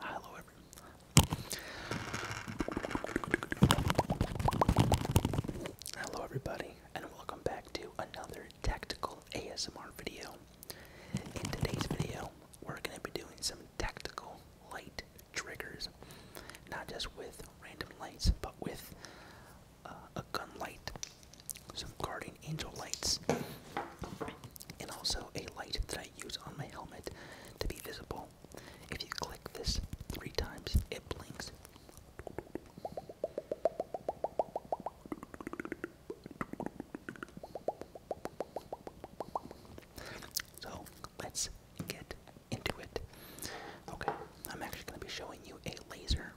Hello, everyone. Hello, everybody, and welcome back to another tactical ASMR video. In today's video, we're going to be doing some tactical light triggers, not just with random lights, but with uh, a gun light, some guardian angel lights, and also a light that I use on my helmet to be visible. If you click this three times, it blinks. So let's get into it. Okay, I'm actually going to be showing you a laser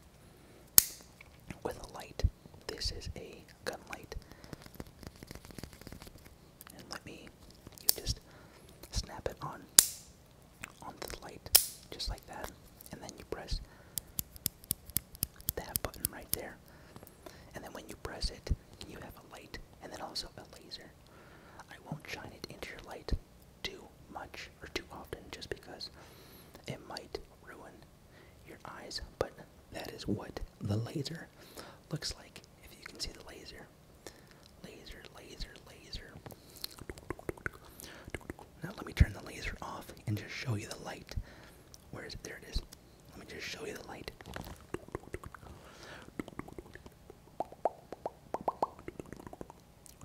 with a light. This is a gun light. And let me, you just snap it on onto the light, just like that. And then you press that button right there. And then when you press it, you have a light, and then also a laser. I won't shine it into your light too much or too often just because it might ruin your eyes. But that is what the laser looks like. If you can see the laser, laser, laser, laser. Now let me turn the laser off and just show you the light. Where is it? There it is. Let me just show you the light.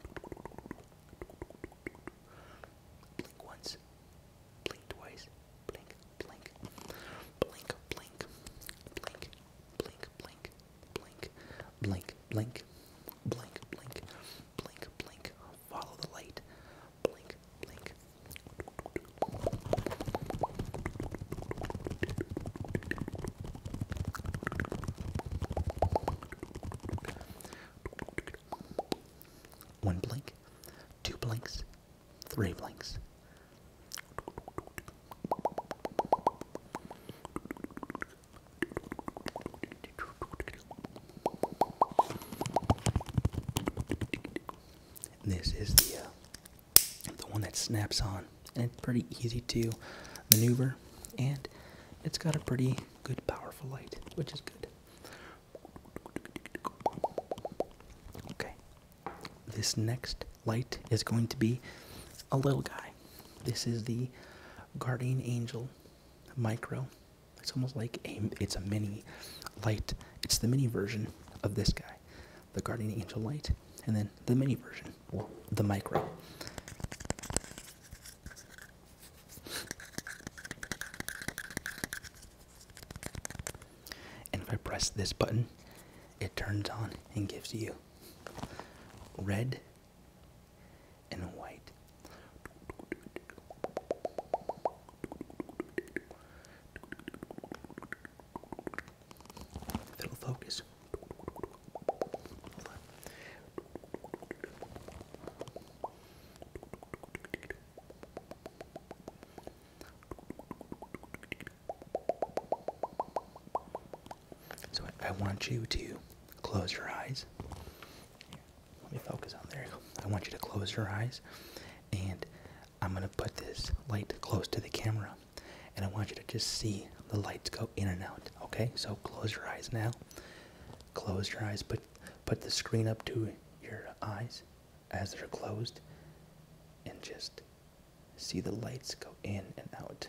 Blink once, blink twice, blink, blink, blink, blink, blink, blink, blink, blink, blink, blink, blink, blink, blink, blink. Follow the light. Blink, blink. One blink, two blinks, three blinks. This is the uh, the one that snaps on and it's pretty easy to maneuver and it's got a pretty good powerful light which is good okay this next light is going to be a little guy this is the guardian angel micro it's almost like a it's a mini light it's the mini version of this guy the guardian angel light and then the mini version the micro. And if I press this button, it turns on and gives you red and white it'll focus. So I want you to close your eyes. Let me focus on there. I want you to close your eyes, and I'm gonna put this light close to the camera and I want you to just see the lights go in and out. Okay, so close your eyes now. Close your eyes. Put put the screen up to your eyes as they're closed, and just see the lights go in and out.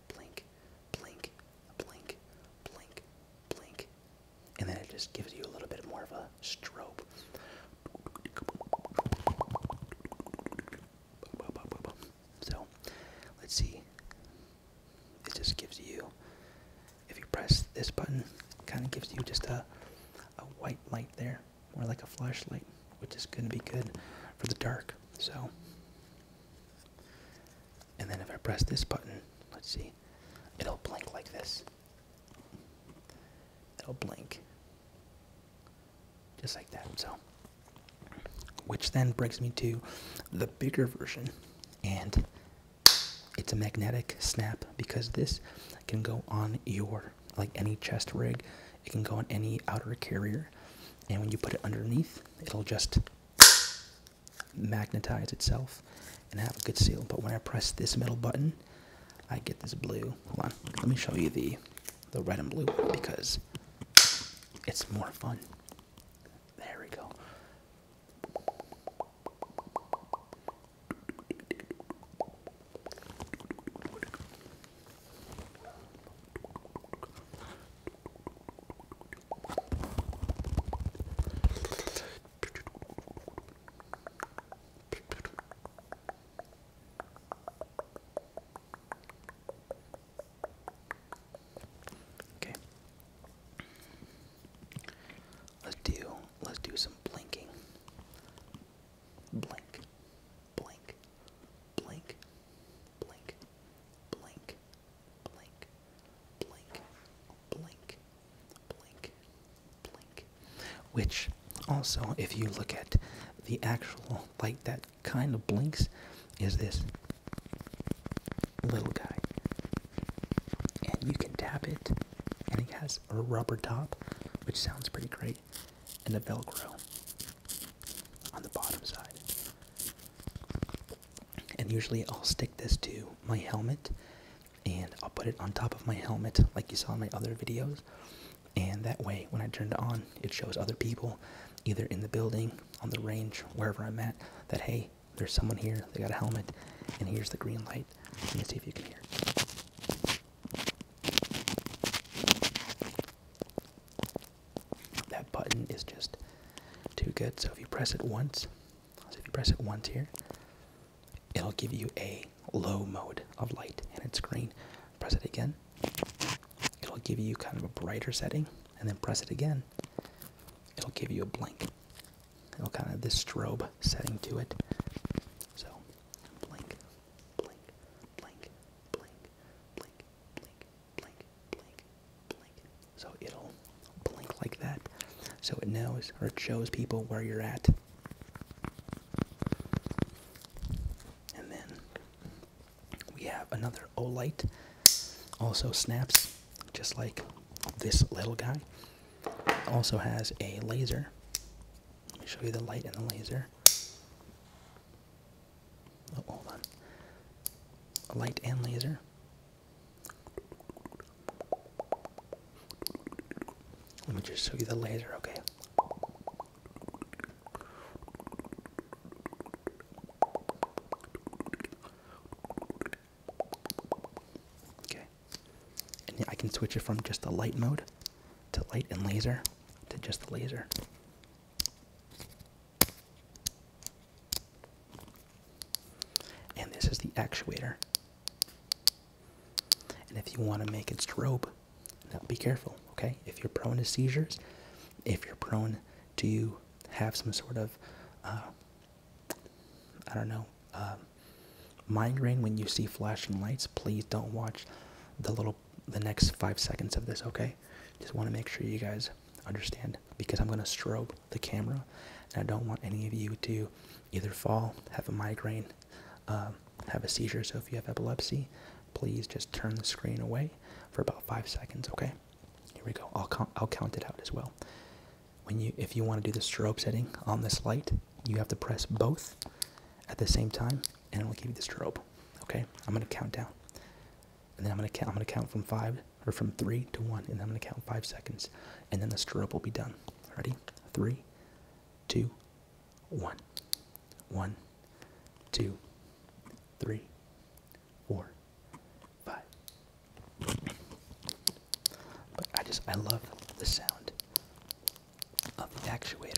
blink, blink, blink, blink, blink, and then it just gives you a little bit more of a strobe. So let's see. It just gives you, if you press this button, kind of gives you just a, a white light there, more like a flashlight, which is going to be good for the dark. So and then if I press this button, let's see, it'll blink like this. It'll blink. Just like that. So, which then brings me to the bigger version. And it's a magnetic snap because this can go on your, like any chest rig, it can go on any outer carrier. And when you put it underneath, it'll just magnetize itself and have a good seal. But when I press this middle button, I get this blue. Hold on, let me show you the the red and blue because it's more fun. There we go. Okay. Let's do let's do some blinking. Blink blink, blink, blink, blink, blink, blink, blink, blink, blink. Which also, if you look at the actual light that kind of blinks, is this little guy. And you can tap it, and it has a rubber top, which sounds pretty great, and a Velcro on the bottom side. And usually I'll stick this to my helmet and I'll put it on top of my helmet like you saw in my other videos. And that way, when I turn it on, it shows other people, either in the building, on the range, wherever I'm at, that hey, there's someone here, they got a helmet, and here's the green light. Let me see if you can hear. That button is just too good. So if you press it once, so if you press it once here, it'll give you a low mode of light and it's green. Press it again, it'll give you kind of a brighter setting, and then press it again, it'll give you a blank. It'll kind of this strobe setting to it. So blink, blink, blink, blink, blink, blink, blink, blink, blink. So it'll blink like that. So it knows or it shows people where you're at. And then we have another Olight, also snaps, just like this little guy. Also has a laser. Let me show you the light and the laser. Oh, hold on. light and laser. Let me just show you the laser, okay? Okay. And I can switch it from just the light mode to light and laser to just the laser. And this is the actuator. And if you want to make it strobe, now be careful, okay? If you're prone to seizures, if you're prone to have some sort of, uh, I don't know, uh, migraine when you see flashing lights, please don't watch the little the next five seconds of this, okay? Just want to make sure you guys understand because I'm going to strobe the camera and I don't want any of you to either fall, have a migraine, um, have a seizure. So if you have epilepsy, please just turn the screen away for about five seconds, okay? Here we go. I'll, count, I'll count it out as well. When you, if you want to do the strobe setting on this light, you have to press both at the same time and I'm gonna give you the strobe. Okay, I'm gonna count down, and then I'm gonna count. I'm gonna count from five or from three to one, and I'm gonna count five seconds, and then the strobe will be done. Ready? Three, two, one, one, two, three, four, five. But I just I love the sound of the actuator.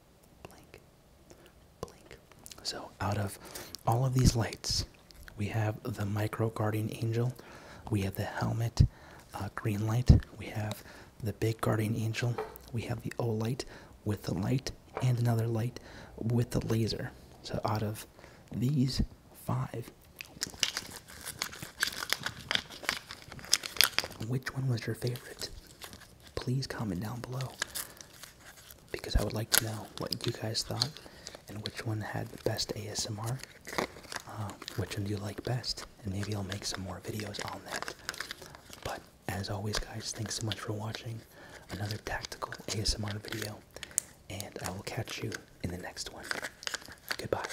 So, out of all of these lights, we have the micro guardian angel, we have the helmet uh, green light, we have the big guardian angel, we have the O light with the light, and another light with the laser. So, out of these five, which one was your favorite? please comment down below because I would like to know what you guys thought and which one had the best ASMR, uh, which one do you like best, and maybe I'll make some more videos on that. But as always, guys, thanks so much for watching another tactical ASMR video, and I will catch you in the next one. Goodbye.